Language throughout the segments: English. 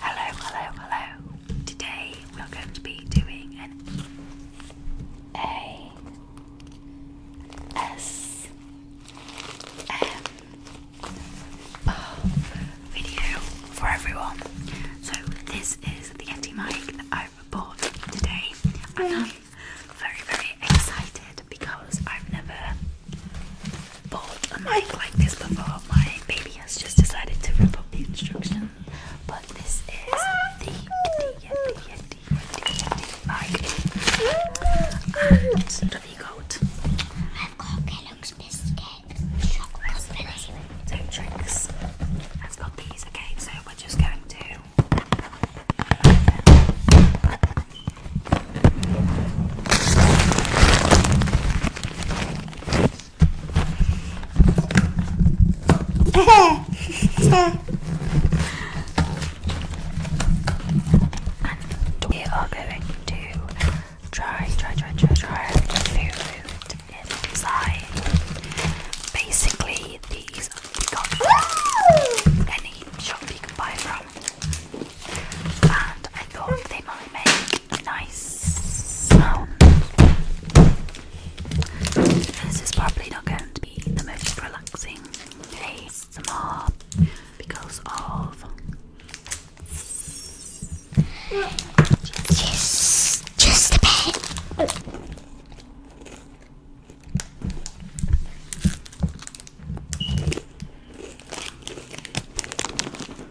Hello, hello, hello. Today we are going to be doing an A S M video for everyone. So this is the empty mic that i bought today. And I'm very, very excited because I've never bought a mic like this before. My baby has just decided to rip up the instruction. But this is the Yeti Yeti Yeti Yeti mic. And have you got? I've got Kellogg's biscuit, chocolate milk, and drinks. I've got these. Okay, so we're just going to. we are going to try, try, try, try, try food inside. Basically, these we got any shop you can buy from and I thought they might make nice This is probably not going to be the most relaxing ASMR because of just, just a bit.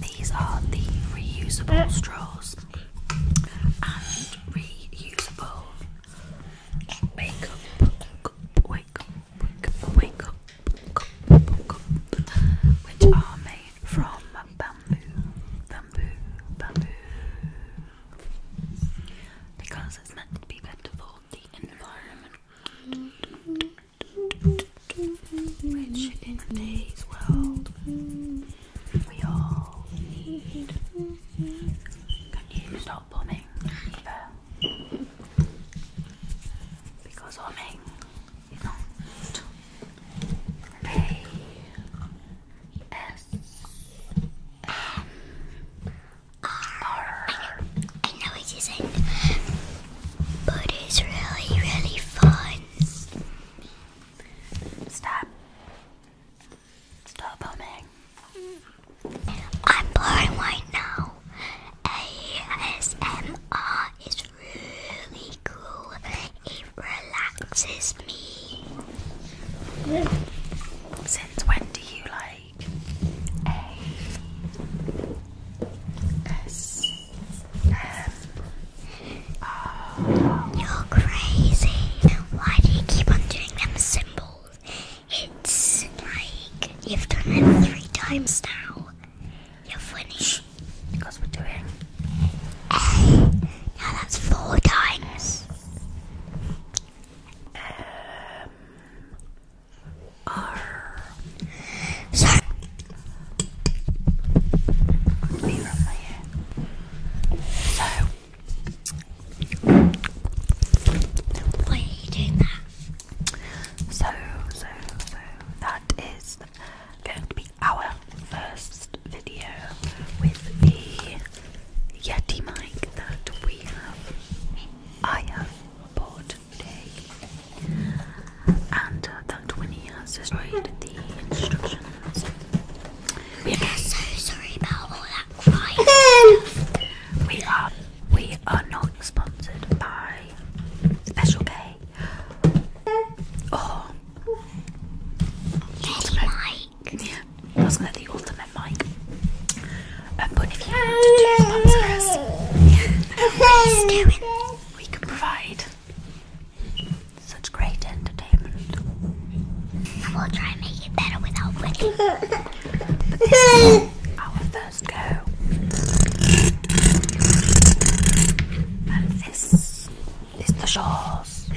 These are the reusable eh. straws and reusable makeup. Wake which are made from bamboo, bamboo, bamboo, because it's meant to be better for the environment. Which in today's world we all need. Can you stop bombing? Eva? because I am mean, you don't pay S M R. I, I know it isn't, but it's really, really fun. Stop. Stop humming. I'm blowing right now. ASMR is really cool. It relaxes me. Since when do you like ASMR? You're crazy. Why do you keep on doing them symbols? It's like you've done it three times now. You're finished because we're doing. Eh, now that's four times. Um, R. So. So. Why are doing that? So, so, so that is going to be our first video with the Yeti mic that we have. I have bought today, and uh, that Winnie has destroyed the instructions. We are so sorry about all that crying. we are we are not sponsored by Special K or oh. Ultimate Mic. Yeah, I was gonna the Ultimate Mic. Um, but if you want to sponsor us, please We can provide such great entertainment. And we'll try and make it better without winning. but this is Let's go. And this is the shores.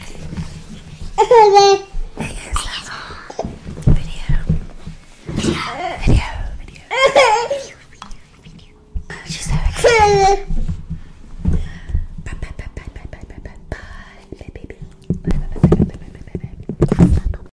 it is the video. Video, video, video. video, video, video. She's so excited. Bye, bye, bye, bye, bye, bye, bye, bye, bye, baby. Bye, bye, bye, bye, bye, bye, bye, bye.